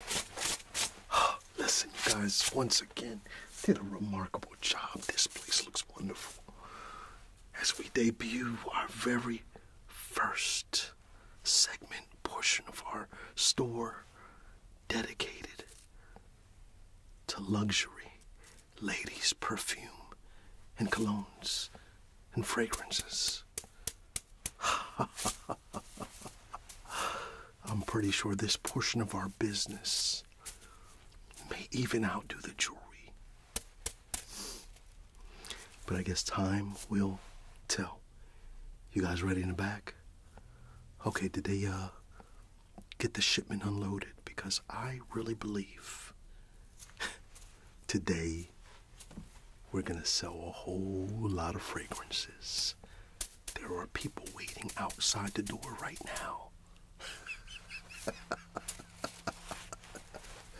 Listen, you guys, once again, did a remarkable job. This place looks wonderful. As we debut our very first segment portion of our store dedicated to luxury, ladies' perfume, and colognes and fragrances. I'm pretty sure this portion of our business may even outdo the jury, But I guess time will tell. You guys ready in the back? Okay, did they uh, get the shipment unloaded? Because I really believe today we're gonna sell a whole lot of fragrances. There are people waiting outside the door right now.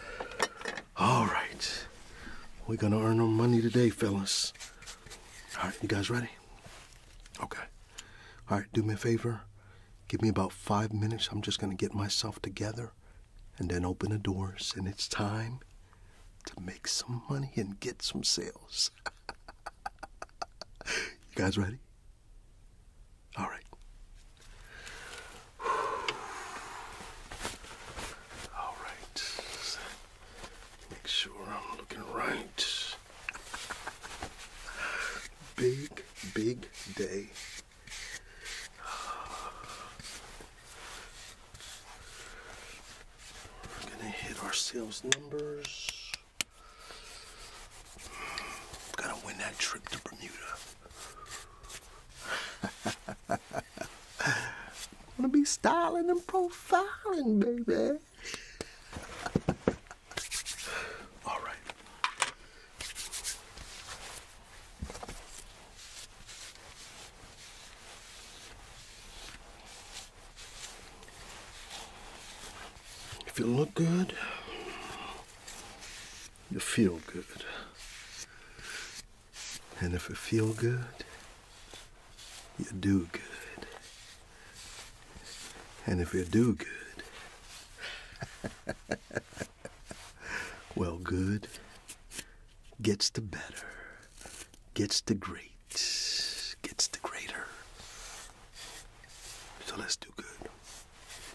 All right. We're going to earn our money today, fellas. All right, you guys ready? Okay. All right, do me a favor. Give me about five minutes. I'm just going to get myself together and then open the doors. And it's time to make some money and get some sales. you guys ready? All right. All right. Make sure I'm looking right. Big, big day. We're gonna hit our sales numbers. going to win that trip to Bermuda. Wanna be styling and profiling, baby. All right. If you look good, you feel good. And if you feel good, you do good. And if you do good, well, good gets the better, gets the great, gets the greater. So let's do good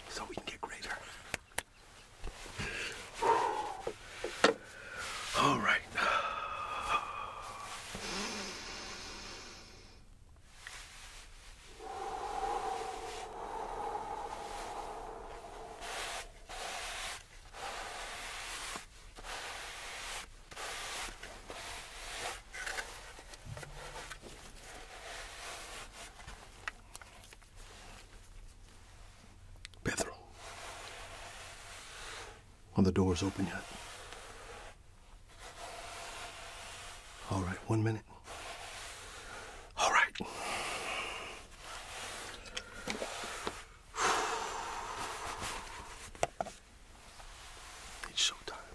so we can get greater. All right. Pedro. Are the doors open yet? All right, one minute. All right. It's showtime.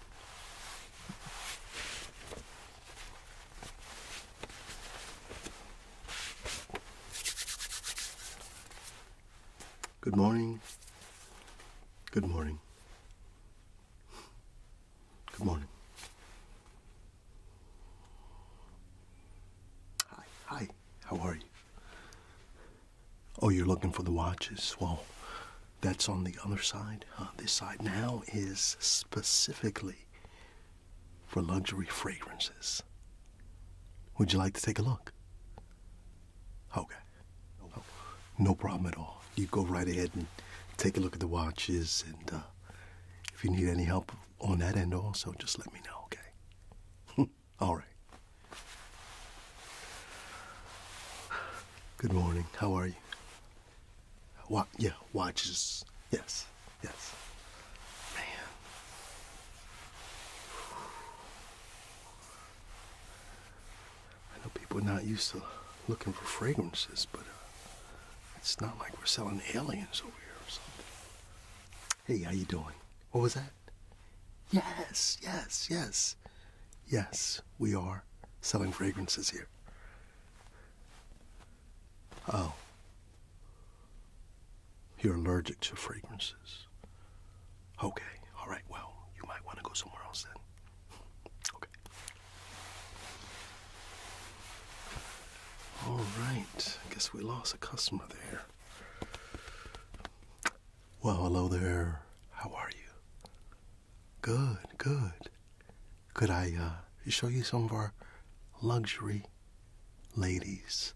Good morning. Good morning. Good morning. Hi, hi, how are you? Oh, you're looking for the watches. Well, that's on the other side. Uh, this side now is specifically for luxury fragrances. Would you like to take a look? Okay. no problem at all. You go right ahead and take a look at the watches. And uh, if you need any help on that end also, just let me know, okay? All right. Good morning. How are you? Wa- yeah, watches. Yes, yes. Man. I know people are not used to looking for fragrances, but uh, it's not like we're selling aliens over here or something. Hey, how you doing? What was that? Yes, yes, yes. Yes, we are selling fragrances here. Oh. You're allergic to fragrances. Okay, all right, well, you might want to go somewhere else then. Okay. All right, I guess we lost a customer there. Well, hello there. How are you? Good, good. Could I uh, show you some of our luxury ladies,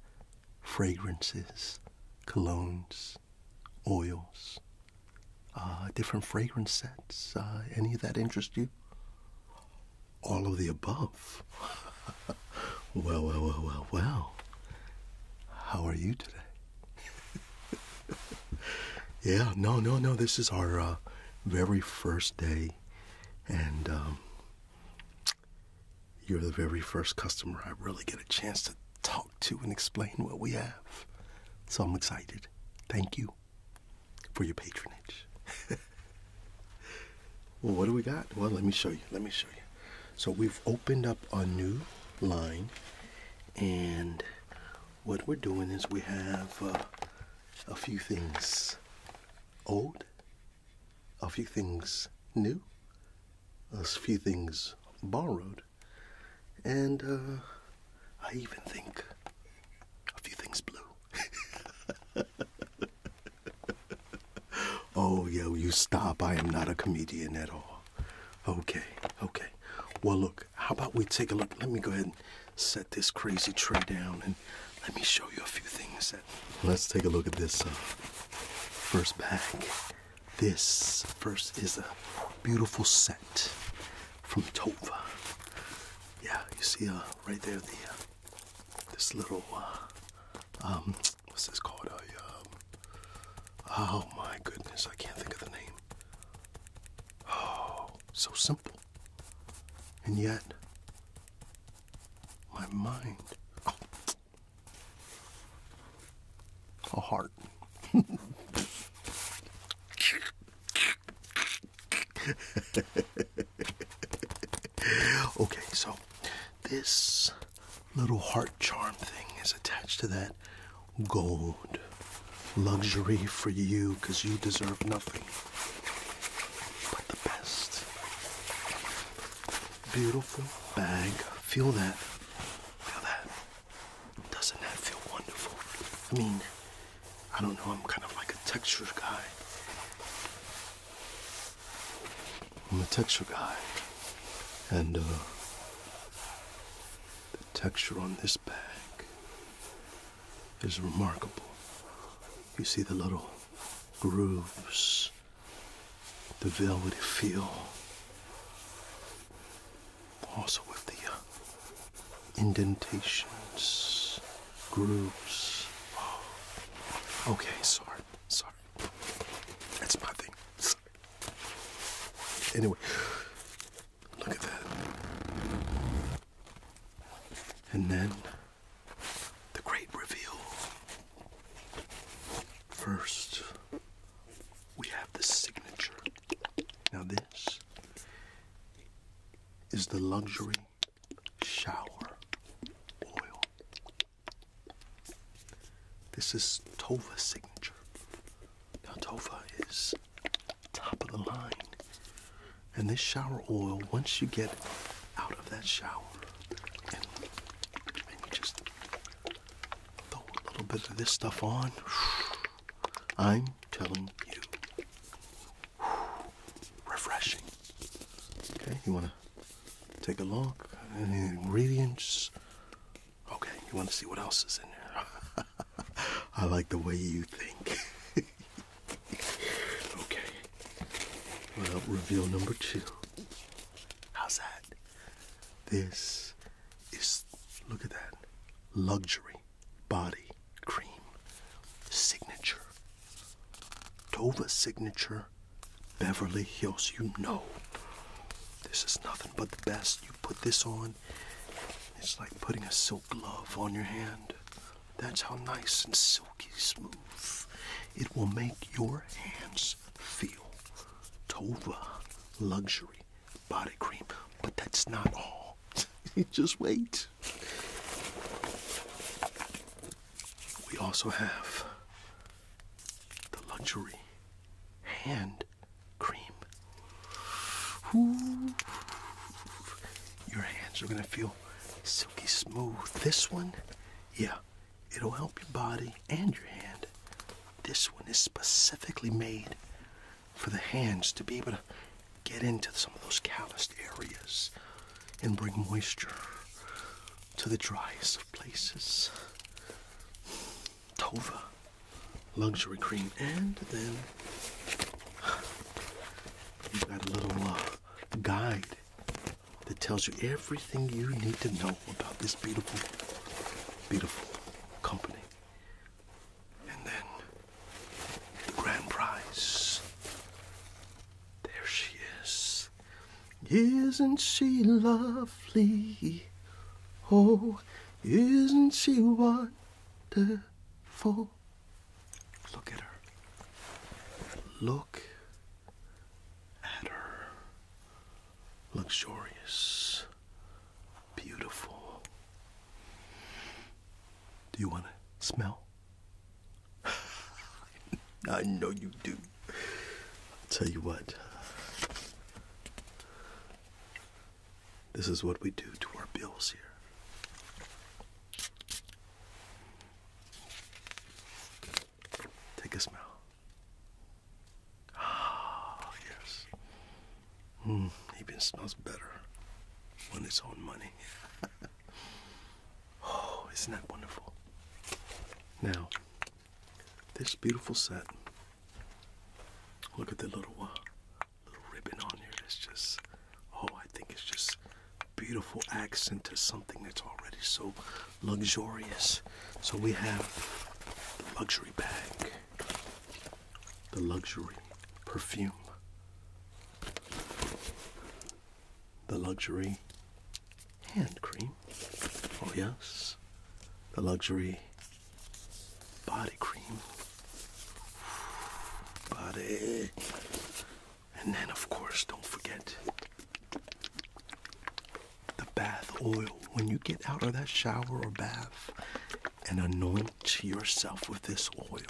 fragrances, colognes, oils, uh, different fragrance sets? Uh, any of that interest you? All of the above. well, well, well, well, well. How are you today? yeah, no, no, no. This is our uh, very first day, and um, you're the very first customer I really get a chance to talk to and explain what we have. So I'm excited. Thank you for your patronage. well, what do we got? Well, let me show you. Let me show you. So we've opened up a new line, and what we're doing is we have uh, a few things old, a few things new, a few things borrowed, and uh, I even think a few things blue. oh, yo, you stop. I am not a comedian at all. Okay, okay. Well, look, how about we take a look? Let me go ahead and set this crazy tray down and let me show you a few things. Let's take a look at this uh, first bag. This first is a beautiful set from Tova. Yeah, you see uh, right there the uh, this little uh, um, what's this called? Um, oh my goodness, I can't think of the name. Oh, so simple. And yet, my mind. Oh. A heart. okay, so this little heart charm thing is attached to that gold. Luxury for you because you deserve nothing but the best. Beautiful bag. Feel that. Feel that. Doesn't that feel wonderful? I mean, I don't know, I'm kind of like a texture guy. I'm a texture guy, and uh, the texture on this bag is remarkable. You see the little grooves, the velvety feel. Also with the uh, indentations, grooves. Oh, okay, sorry, sorry. That's my thing. Anyway, look at that. And then the great reveal. First, we have the signature. Now, this is the luxury shower oil. This is Tova's signature. Now Tova is top of the line. And this shower oil, once you get out of that shower and you just throw a little bit of this stuff on, I'm telling you, refreshing. Okay, you want to Take a look. Any ingredients? Okay, you want to see what else is in there? I like the way you think. okay. Well, reveal number two. How's that? This is, look at that, luxury body cream signature. Tova signature Beverly Hills. You know this is nothing but the best. You put this on, it's like putting a silk glove on your hand. That's how nice and silky smooth it will make your hands feel. Tova luxury body cream, but that's not all. Just wait. We also have the luxury hand cream. Ooh. Your hands are gonna feel silky smooth. This one, yeah, it'll help your body and your hand. This one is specifically made for the hands to be able to get into some of those calloused areas and bring moisture to the driest of places. Tova luxury cream, and then you've got a little uh, guide that tells you everything you need to know about this beautiful, beautiful company. And then the grand prize. There she is. Isn't she lovely? Oh, isn't she wonderful? Look at her. Look at her. Luxurious. Beautiful. Do you want to smell? I know you do. I'll tell you what. This is what we do to our bills here. Take a smell. Ah, yes. Mm, even smells better when it's on money. oh, isn't that wonderful? Now, this beautiful set. Look at the little uh, little ribbon on here. It's just oh, I think it's just beautiful accent to something that's already so luxurious. So we have the luxury bag, the luxury perfume, the luxury hand cream. Oh, yes, the luxury body cream. Body. And then, of course, don't forget the bath oil. When you get out of that shower or bath and anoint yourself with this oil.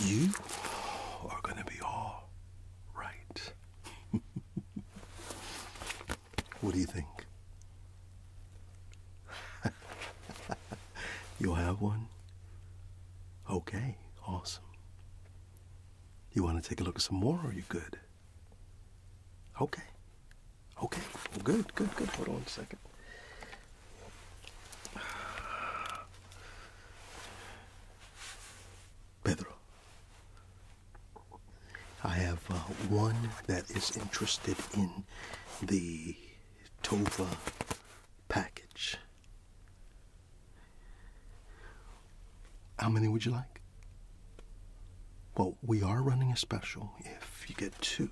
You are going to be all right. what do you think? You'll have one? Okay, awesome. You want to take a look at some more, or are you good? Okay. Okay, good, good, good. Hold on a second. Pedro, I have uh, one that is interested in the Tova package. How many would you like? Well, we are running a special. If you get two,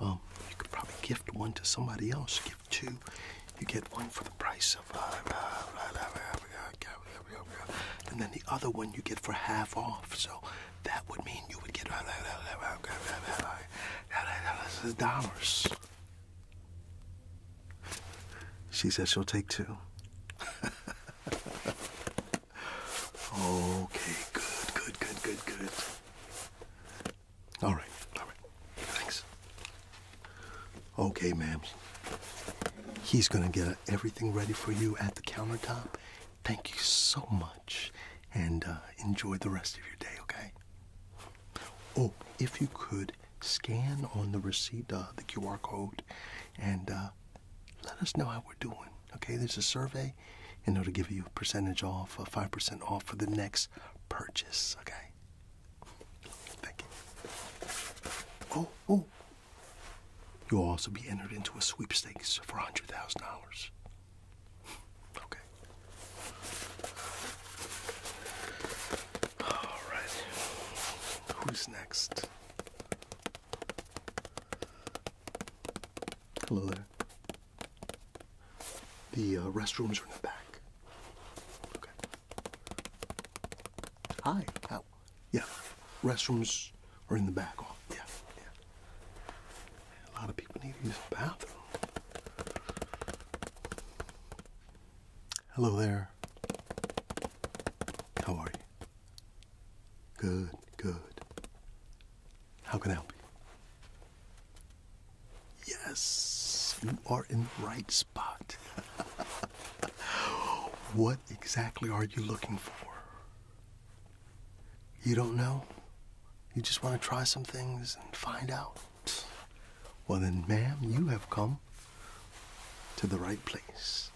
um, you could probably gift one to somebody else two, you get one for the price of. And then the other one you get for half off. So that would mean you would get dollars. She says she'll take two. okay, good, good, good, good, good. All right, all right. Thanks. Okay, ma'am. He's gonna get everything ready for you at the countertop. Thank you so much, and uh, enjoy the rest of your day. Okay. Oh, if you could scan on the receipt uh, the QR code, and uh, let us know how we're doing. Okay, there's a survey, and it'll give you a percentage off, a five percent off for the next purchase. Okay. Thank you. Oh, oh. You'll also be entered into a sweepstakes for hundred thousand dollars. Okay. All right. Who's next? Hello there. The uh, restrooms are in the back. Hi. How? Yeah. Restrooms are in the back. yeah. Yeah. A lot of people need to use the bathroom. Hello there. How are you? Good, good. How can I help you? Yes, you are in the right spot. what exactly are you looking for? You don't know? You just want to try some things and find out? Well, then, ma'am, you have come to the right place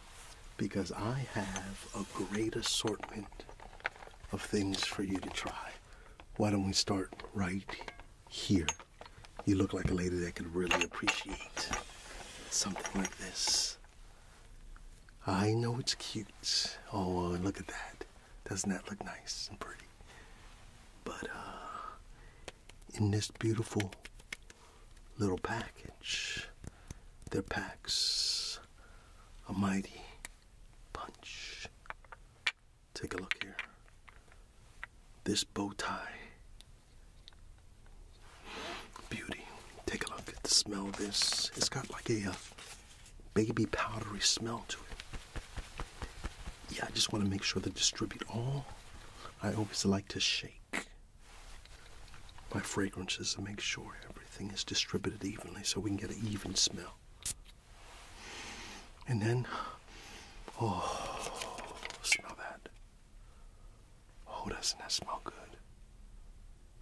because I have a great assortment of things for you to try why don't we start right here? You look like a lady that could really appreciate something like this. I know it's cute. Oh, look at that. Doesn't that look nice and pretty? But uh, in this beautiful little package, there packs a mighty punch Take a look here. This bow tie. Beauty. Take a look at the smell of this. It's got like a, a uh, baby powdery smell to it. Yeah, I just want to make sure to distribute all. I always like to shake my fragrances to make sure everything is distributed evenly so we can get an even smell. And then, oh, smell that. Oh, doesn't that smell good?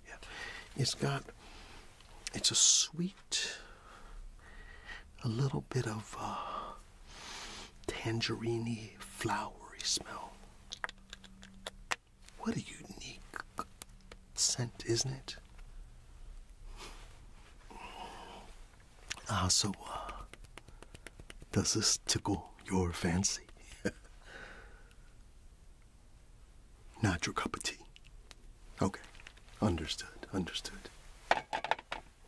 Yeah. It's got, it's a sweet, a little bit of uh, tangerine flowery smell. What a unique scent, isn't it? Ah, so, uh, does this tickle your fancy? Not your cup of tea. Okay, understood, understood.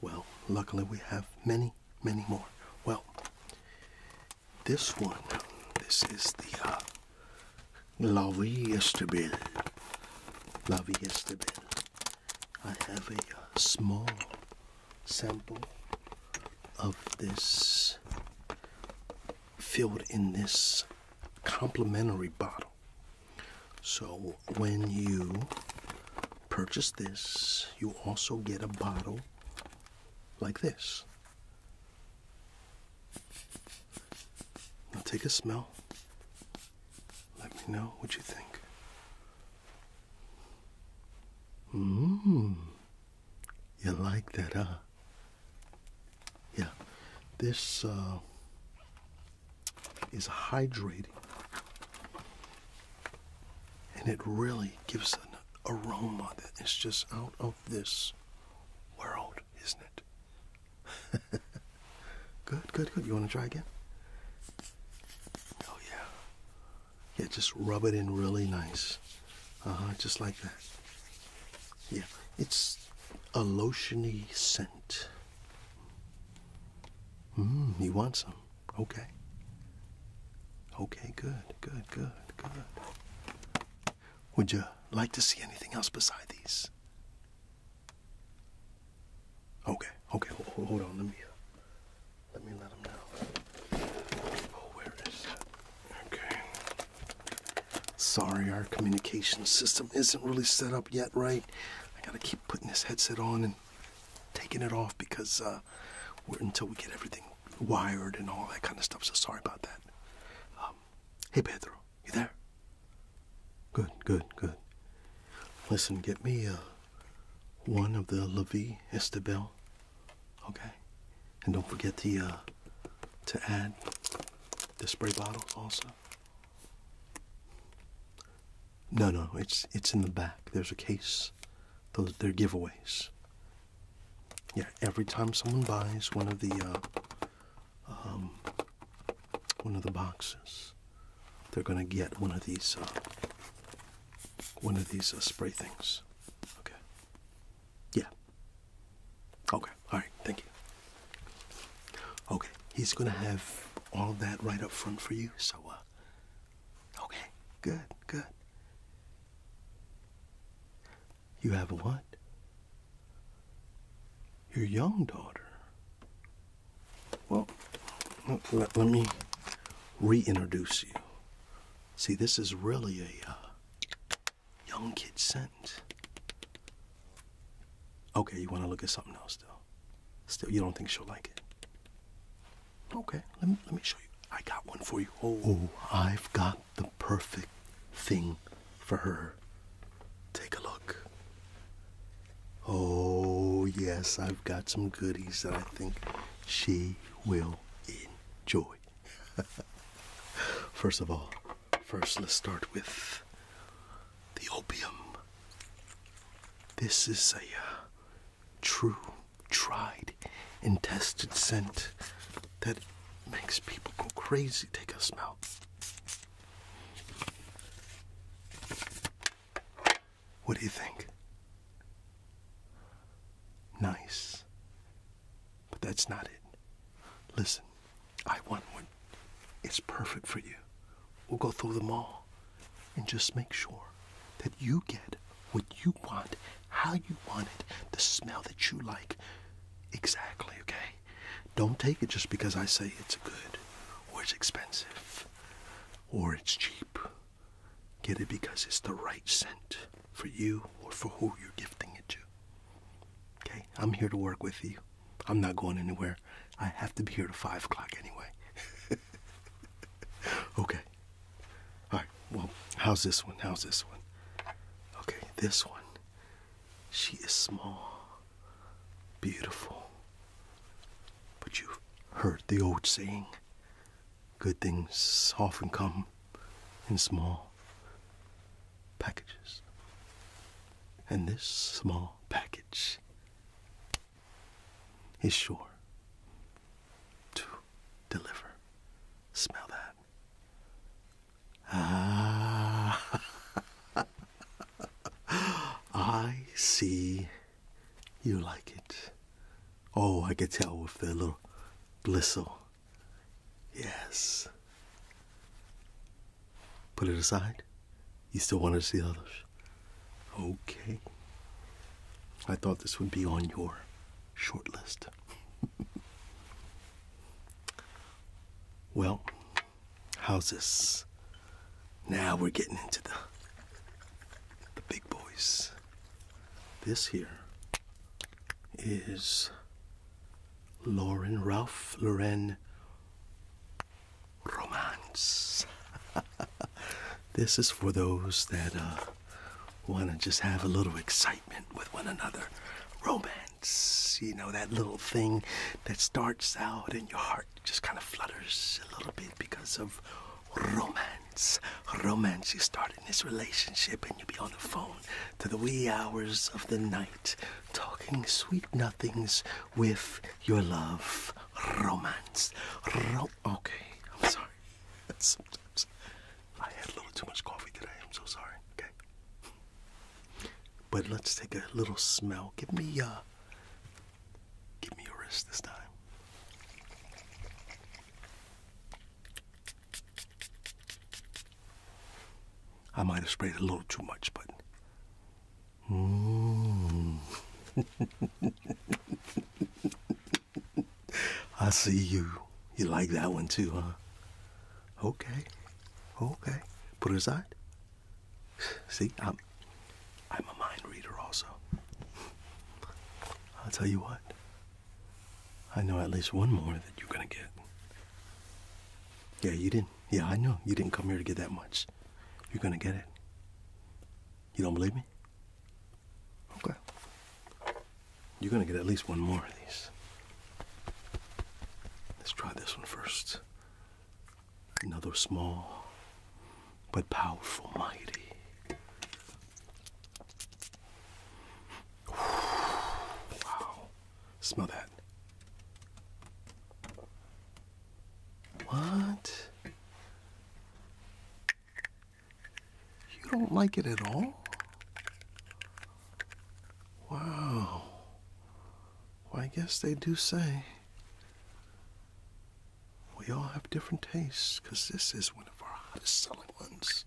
Well, luckily we have many, many more. Well, this one, this is the uh, La Vie Estabile. La Vie Estabile. I have a small sample of this filled in this complimentary bottle. So when you purchase this, you also get a bottle like this. Now take a smell. Let me know what you think. Mmm. You like that, huh? Yeah. This uh, is hydrating. And it really gives an aroma that is just out of this world, isn't it? good, good, good. You want to try again? Oh, yeah. Yeah, just rub it in really nice. Uh huh, just like that. Yeah, it's a lotiony scent. Mmm, you want some? Okay. Okay, good, good, good, good. Would you like to see anything else beside these? Okay, okay, hold, on. Let me uh, let me let him know. Oh, where is it? Okay. Sorry, our communication system isn't really set up yet, right? I gotta keep putting this headset on and taking it off because uh, until we get everything wired and all that kind of stuff. So sorry about that. Um, hey, Pedro, you there? Good, good, good. Listen, get me uh, one of the Levi Estebel, okay? And don't forget to uh, to add the spray bottles also. No, no, it's it's in the back. There's a case. Those they're giveaways. Yeah, every time someone buys one of the uh, um, one of the boxes. They're going to get one of these uh, one of these uh, spray things. Okay. Yeah. Okay. All right. Thank you. Okay. He's going to have all of that right up front for you. So, uh, okay. Good. Good. You have what? Your young daughter. Well, let, me reintroduce you. See, this is really a uh, young kid scent. Okay, you want to look at something else though. Still, you don't think she'll like it? Okay, let me, let me show you. I got one for you. Oh, I've got the perfect thing for her. Take a look. Oh, yes, I've got some goodies that I think she will enjoy. first of all, first let's start with the opium. This is a uh, true, tried, and tested scent that makes people go crazy. Take a smell. What do you think? Nice. But that's not it. Listen, I want one. It's perfect for you. We'll go through them all and just make sure that you get what you want, how you want it, the smell that you like. Exactly, okay? Don't take it just because I say it's good or it's expensive or it's cheap. Get it because it's the right scent for you or for who you're gifting it to. Okay? I'm here to work with you. I'm not going anywhere. I have to be here to 5 o'clock anyway. okay. All right. Well, how's this one? How's this one? Okay, this one. She is small. Beautiful. But you've heard the old saying good things often come in small packages. And this small package is sure to deliver. Smell that. Ah. I see you like it. Oh, I could tell with that little blistle. Yes. Put it aside. You still wanted to see others? Okay. I thought this would be on your short list. well, houses. Now we're getting into the the big boys. This here is Lauren Ralph Lauren Romance. this is for those that uh, want to just have a little excitement with one another. Romance, you know, that little thing that starts out in your heart just kind of flutters a little bit because of romance. Romance. You start in this relationship and you be on the phone to the wee hours of the night talking sweet nothings with your love. Romance. okay, I'm sorry. I had a little too much coffee today. I'm so sorry. Okay. But let's take a little smell. Give me uh give me your wrist this time. I might have sprayed a little too much, but. Mm. I see you. You like that one too, huh? Okay. Okay. Put it aside. See, I'm, I'm a mind reader also. I'll tell you what. I know at least one more that you're gonna get. Yeah, you didn't. Yeah, I know. You didn't come here to get that much. You're gonna get it. You don't believe me? Okay. You're gonna get at least one more of these. Let's try this one first. Another small but powerful mighty. Wow. Smell that. What? You don't like it at all? Wow. Well, I guess they do say we all have different tastes because this is one of our hottest selling ones.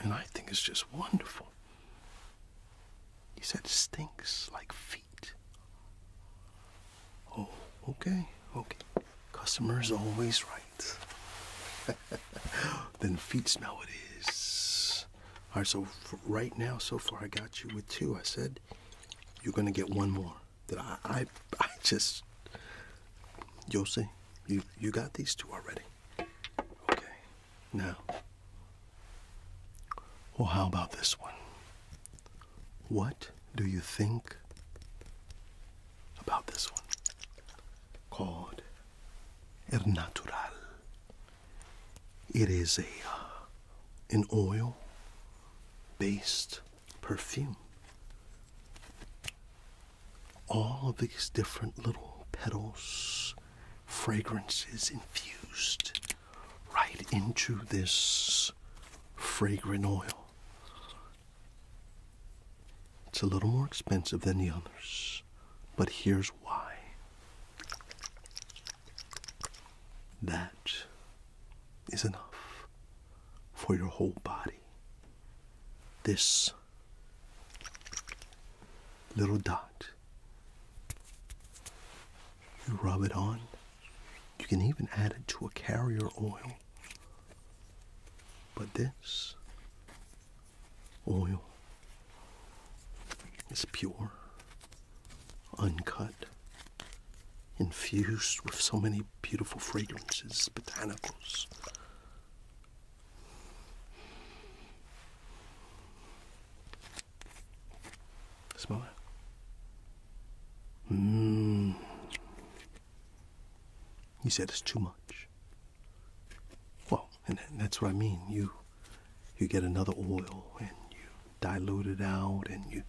And I think it's just wonderful. He said it stinks like feet. Oh, okay, okay. Customer's always right. then feet smell it is. All right, so right now, so far, I got you with two. I said you're gonna get one more. That I, I, just, you You, you got these two already. Okay, now. Well, how about this one? What do you think about this one? Called El Natural. It is a uh, an oil based perfume. All of these different little petals, fragrances infused right into this fragrant oil. It's a little more expensive than the others, but here's why. That is enough for your whole body. This little dot. You rub it on. You can even add it to a carrier oil. But this oil it's pure, uncut, infused with so many beautiful fragrances, botanicals. Smell it. Mmm. You said it's too much. Well, and that's what I mean. You you get another oil and you dilute it out and you.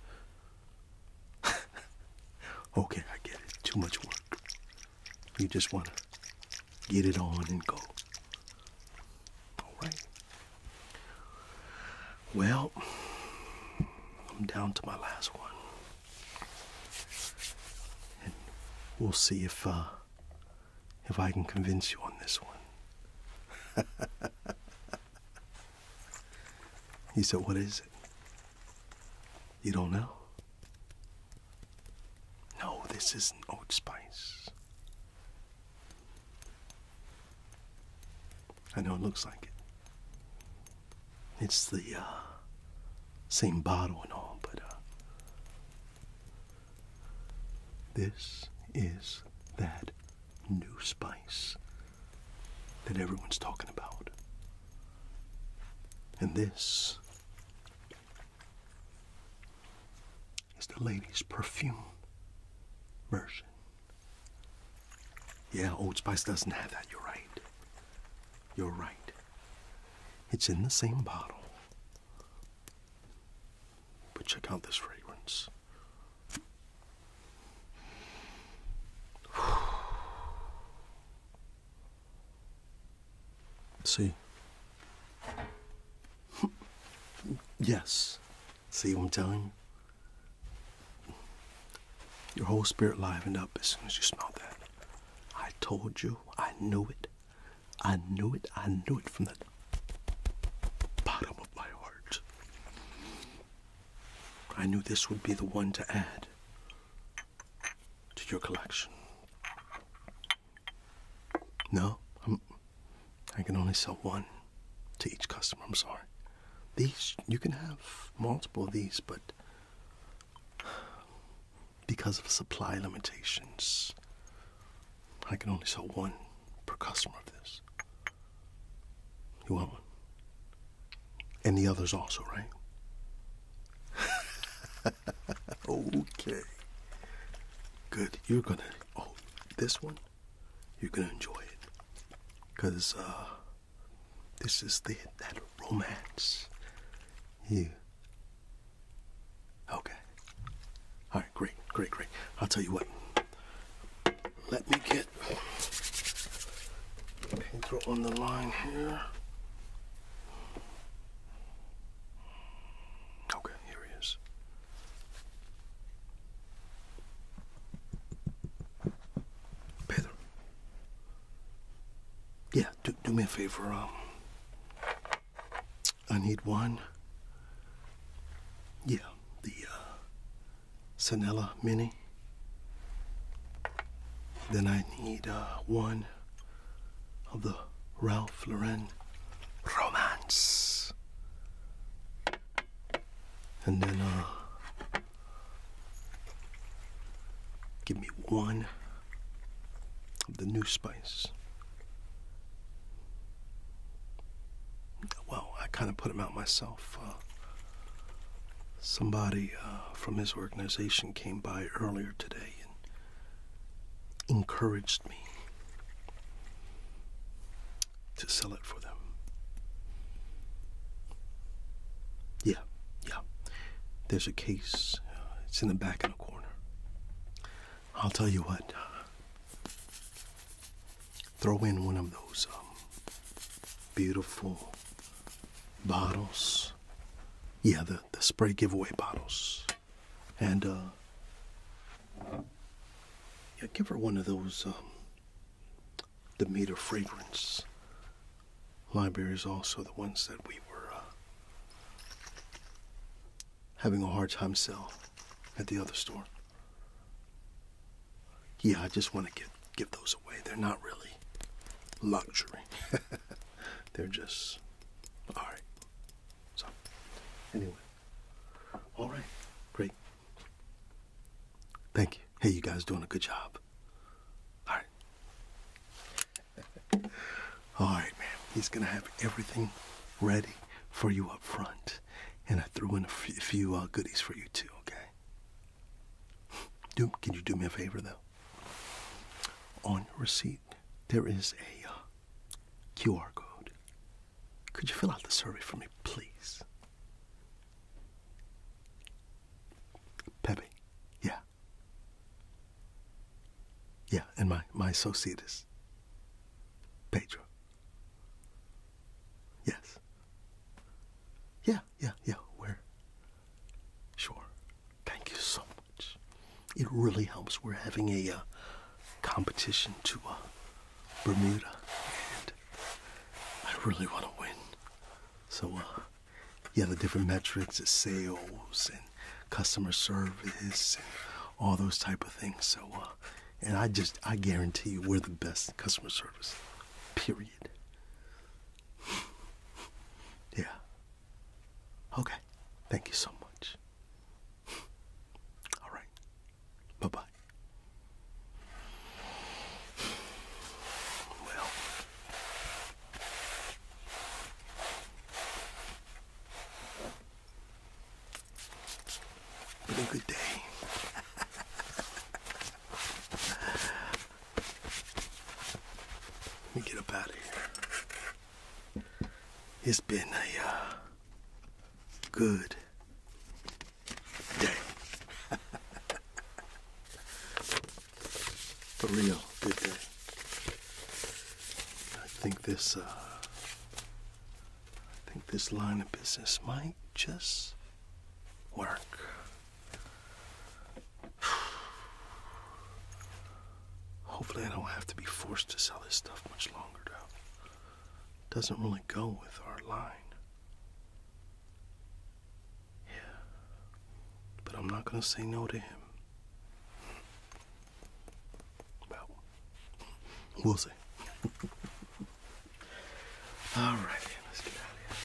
okay, I get it. Too much work. You just want to get it on and go. All right. Well, I'm down to my last one. And we'll see if uh, if I can convince you on this one. he said, What is it? You don't know? No, this isn't oat spice. I know it looks like it. It's the uh, same bottle and all, but uh, this is that new spice that everyone's talking about. And this is the lady's perfume version. Yeah, Old Spice doesn't have that. You're right. You're right. It's in the same bottle. But check out this fragrance. See. yes. See what I'm telling you? Your whole spirit livened up as soon as you smelled that. I told you. I knew it. I knew it. I knew it from the bottom of my heart. I knew this would be the one to add to your collection. No, i can only sell one to each customer. I'm sorry. These, you can have multiple of these, but because of supply limitations, I can only sell one per customer of this. You want one? And the others also, right? okay. Good. You're gonna. Oh, this one? You're gonna enjoy it. Because, uh, this is the, that romance. You Okay. All right, great, great, great. I'll tell you what. Let me get Pedro on the line here. Okay, here he is. Pedro. Yeah, do, do me a favor. Um, I need one. Yeah, the uh, Sanella Mini. Then I need uh, one of the Ralph Lauren Romance. And then uh, give me one of the new spice well, I kind of put him out myself. Uh, somebody uh, from his organization came by earlier today and encouraged me to sell it for them. Yeah, yeah. There's a case. Uh, it's in the back in the corner. I'll tell you what. Throw in one of those um, beautiful bottles. Yeah, the, the spray giveaway bottles. And uh, yeah, give her one of those the um, Demeter fragrance libraries, also the ones that we were uh, having a hard time selling at the other store. Yeah, I just want to give, give those away. They're not really luxury. They're just, all right. So, anyway. All right, great. Thank you. Hey, you guys doing a good job. All right. all right, man. He's going to have everything ready for you up front and I threw in a few uh, goodies for you too. Okay. can you do me a favor though? On receipt, there is a uh, QR code. Could you fill out the survey for me, please? Pepe, yeah. Yeah, and my, my associate is Pedro. Yes. Yeah, yeah, yeah. We're sure. Thank you so much. It really helps. We're having a uh, competition to uh, Bermuda, and I really want to win. So, uh, yeah, the different metrics, is sales and customer service, and all those type of things. So, uh, and I just, I guarantee you, we're the best customer service. Period. Yeah. Okay. Thank you so much. All right. Bye bye. Well, been a good day. Let me get up out of here. It's been a uh, good day. for real good day. I think this uh, I think this line of business might just work. Hopefully, I don't have to be forced to sell this stuff much longer, though. Doesn't really go with our line. Yeah. But I'm not going to say no to him we'll see. All right, let's get out of here.